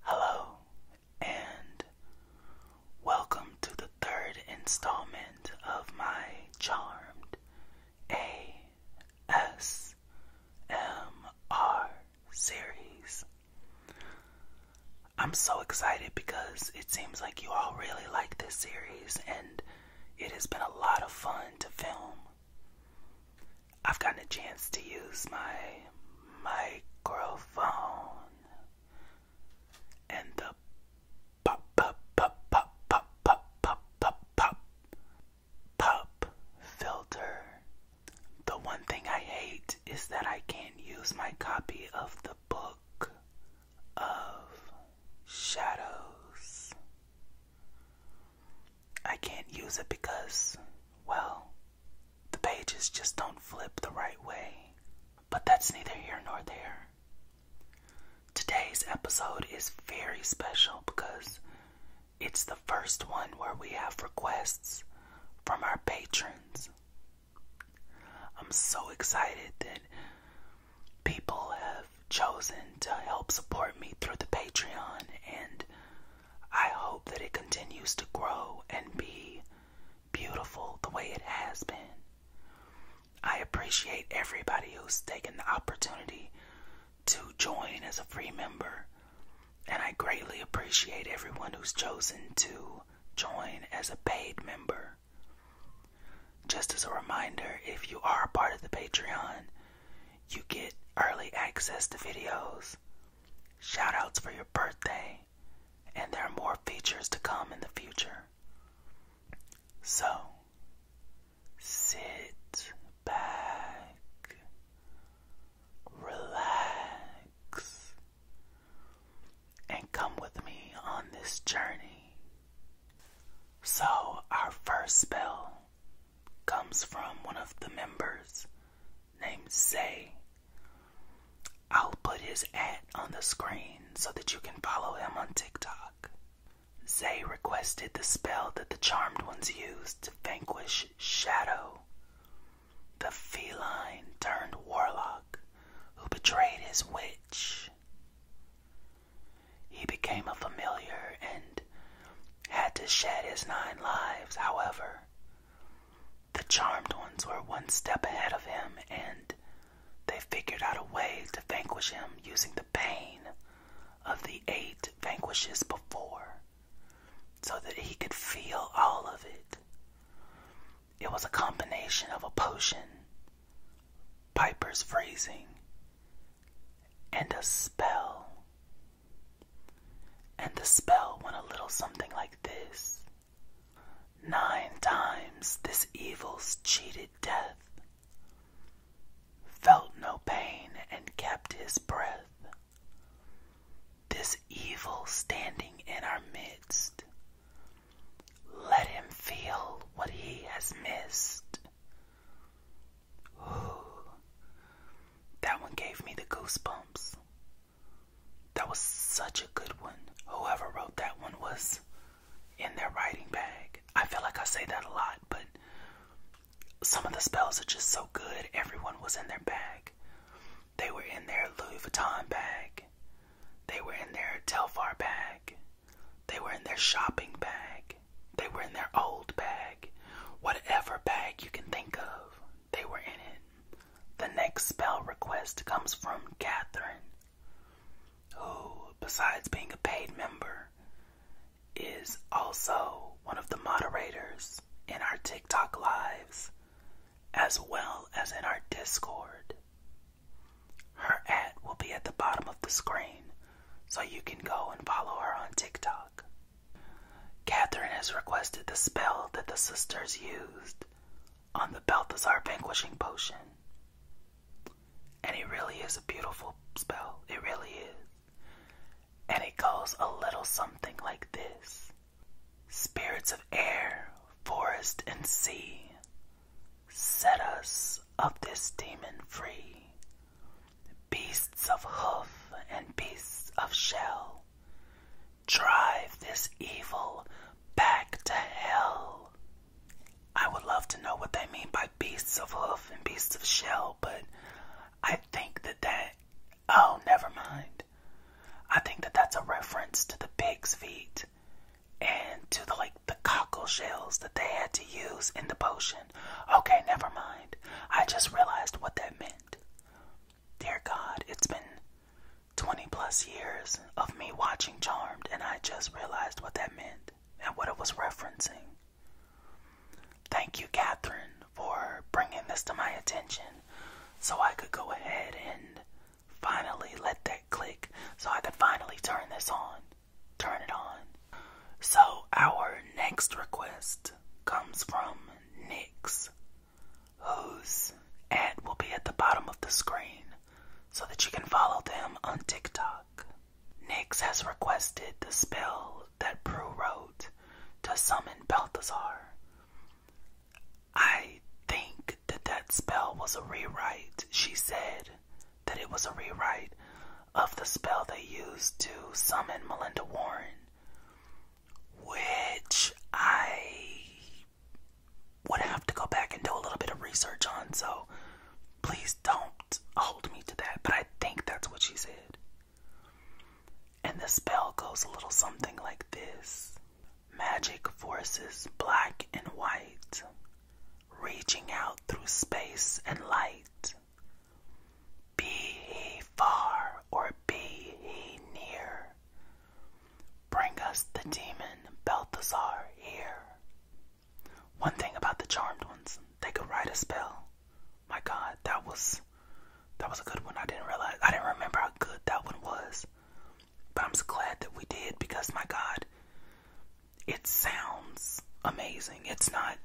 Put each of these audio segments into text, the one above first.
Hello, and welcome to the third installment of my Charmed ASMR series. I'm so excited because it seems like you all really like this series, and it has been a lot of fun to film. I've gotten a chance to use my microphone and the pop pop pop pop pop pop pop pop pop pop filter. The one thing I hate is that I can't use my copy of the book of shadows. I can't use it because, well, the pages just don't flip the right way. But that's neither here nor there. Today's episode is very special because it's the first one where we have requests from our patrons. I'm so excited that people have chosen to help support me through the Patreon, and I hope that it continues to grow and be beautiful the way it has been. I appreciate everybody who's taken the opportunity to join as a free member, and I greatly appreciate everyone who's chosen to join as a paid member. Just as a reminder, if you are a part of the Patreon, you get early access to videos, shoutouts for your birthday, and there are more features to come in the future. So, sit back, relax, and come with me on this journey. So, our first spell comes from one of the members named Zay. I'll put his at on the screen so that you can follow him on TikTok. Zay requested the spell that the Charmed Ones used to vanquish Shadow, the feline turned warlock who betrayed his witch. He became a familiar and had to shed his nine lives, however. The charmed ones were one step ahead of him, and they figured out a way to vanquish him using the pain of the eight vanquishes before, so that he could feel all of it. It was a combination of a potion, Piper's freezing, and a spell and the spell went a little something like this Nine times this evil's cheated death, felt no pain and kept his breath. This evil standing in our midst, let him feel what he has missed that one gave me the goosebumps. That was such a good one. Whoever wrote that one was in their writing bag. I feel like I say that a lot, but some of the spells are just so good. Everyone was in their bag. They were in their Louis Vuitton bag. They were in their Telfar bag. They were in their shopping bag. They were in their old bag. Whatever bag you can think of, they were in it. The next spell request comes from Catherine, who, besides being a paid member, is also one of the moderators in our TikTok lives, as well as in our Discord. Her at will be at the bottom of the screen, so you can go and follow her on TikTok. Catherine has requested the spell that the sisters used on the Balthazar Vanquishing Potion. And it really is a beautiful spell. It really is. And it goes a little something like this Spirits of air, forest, and sea, set us of this demon free beasts of hoof and beasts of shell, drive this evil back to hell. I would love to know what they mean by beasts of hoof and beasts of shell, but I think that that, oh, never mind. I think that that's a reference to the pig's feet and to the like the cockle shells that they had to use in the potion. Okay, never mind. I just realized what that meant. Dear God, it's been 20 plus years of me watching Charmed, and I just realized what that meant and what it was referencing. Thank you, Catherine, for bringing this to my attention so I could go ahead and finally let that click so I could finally turn this on turn it on. So, our next request comes from Nix, whose will be at the bottom of the screen so that you can follow them on TikTok. Nix has requested the spell that Prue wrote to summon Balthazar. I think that that spell was a rewrite. She said that it was a rewrite of the spell they used to summon Melinda Warren, which I would have to go back and do a little bit of research on, so please don't hold me to that. But I think that's what she said. And the spell goes a little something like this Magic forces black and white, reaching out through space and light. Be he far or be he near, bring us the demon Balthazar here. One thing about the charmed ones, they could write a spell. My God, that was that was a good one. I didn't realize I didn't remember how good that one was. But I'm just glad that we did because my God, it sounds amazing. It's not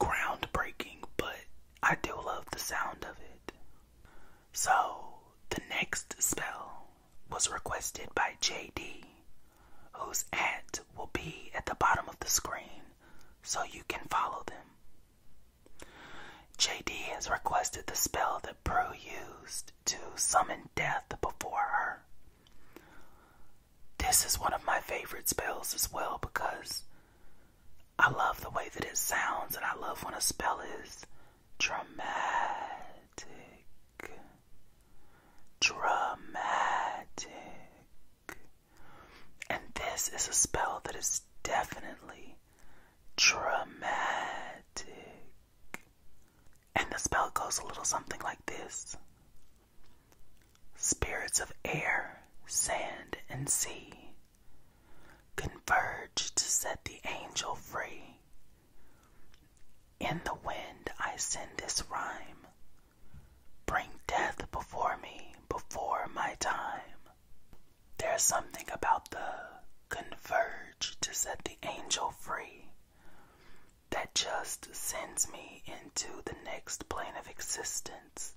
groundbreaking, but I do love the sound of it. So, the next spell was requested by JD, whose at will be at the bottom of the screen so you can follow them. JD has requested the spell that Prue used to summon death before her. This is one of my favorite spells as well because I love the way that it sounds and I love when a spell is dramatic. Dramatic. And this is a spell that is definitely dramatic. And the spell goes a little something like this Spirits of air, sand, and sea converge to set the angel free. In the wind, I send this rhyme. Bring death before me, before my time. There's something about the converge to set the angel free that just sends me into the next plane of existence.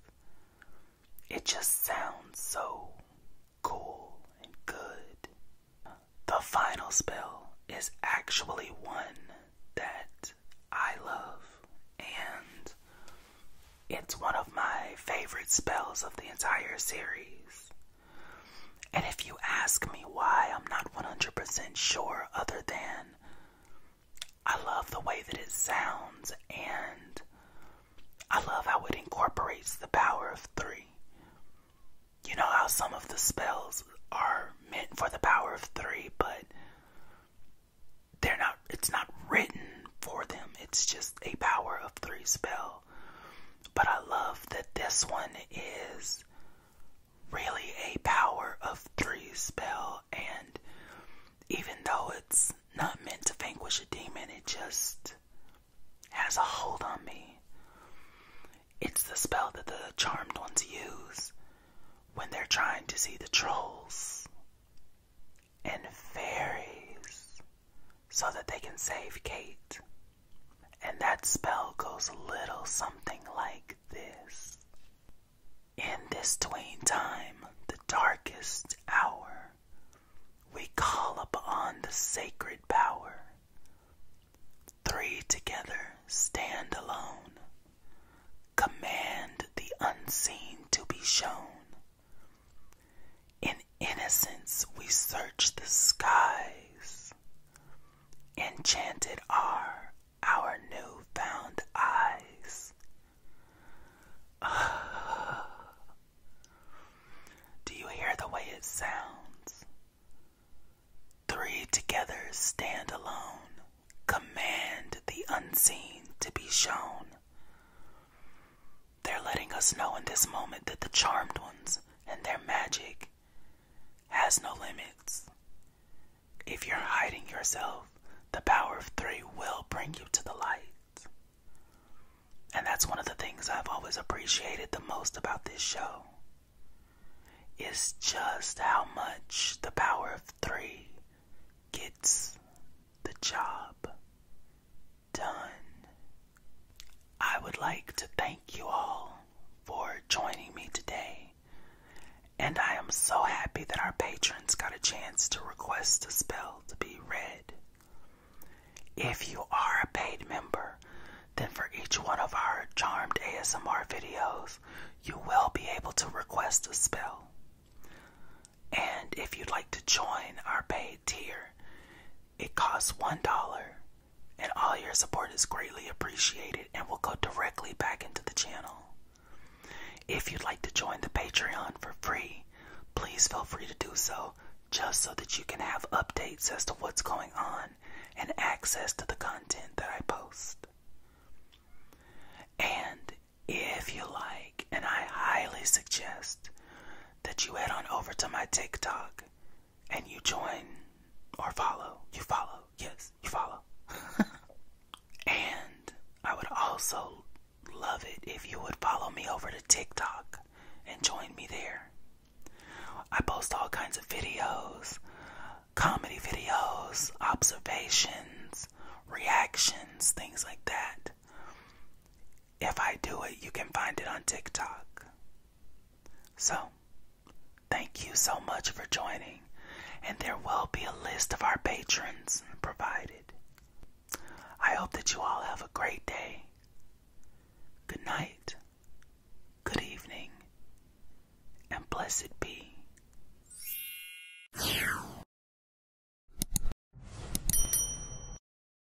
It just sounds so cool and good. The final spell is actually one that I love, and it's one of my favorite spells of the entire series. And if you ask me why, I'm not 100% sure, other than I love the way that it sounds and I love how it incorporates the power of three. You know how some of the spells are meant for the power of three, but they're not, it's not written for them, it's just a power of three spell. But I love that this one is really a power of three spell, and even though it's not meant to vanquish a demon, it just has a hold on me. It's the spell that the charmed ones use when they're trying to see the trolls and fairies so that they can save Kate. And that spell goes a little something like this. In this twain time, the darkest hour, we call upon the sacred power. Three together stand alone, command the unseen to be shown. In innocence, we search the skies Enchanted are our new found eyes. do you hear the way it sounds? Three together stand alone, command the unseen to be shown. They're letting us know in this moment that the charmed ones and their magic has no limits. If you're hiding yourself, the power of three will bring you to the light. And that's one of the things I've always appreciated the most about this show. Is just how much the power of three gets the job done. I would like to thank you all for joining me today, and I am so happy that our patrons got a chance to request a spell to be read. If you are a paid member, then for each one of our charmed ASMR videos, you will be able to request a spell. And if you'd like to join our paid tier, it costs $1, and all your support is greatly appreciated and will go directly back into the channel. If you'd like to join the Patreon for free, please feel free to do so just so that you can have updates as to what's going on and access to the content that I post. And if you like, and I highly suggest that you head on over to my TikTok and you join or follow. You follow. Yes, you follow. and I would also love it if you would follow me over to TikTok and join me there. I post all kinds of videos comedy videos, observations, reactions, things like that. If I do it, you can find it on TikTok. So, thank you so much for joining, and there will be a list of our patrons provided. I hope that you all have a great day. Good night, good evening, and blessed be.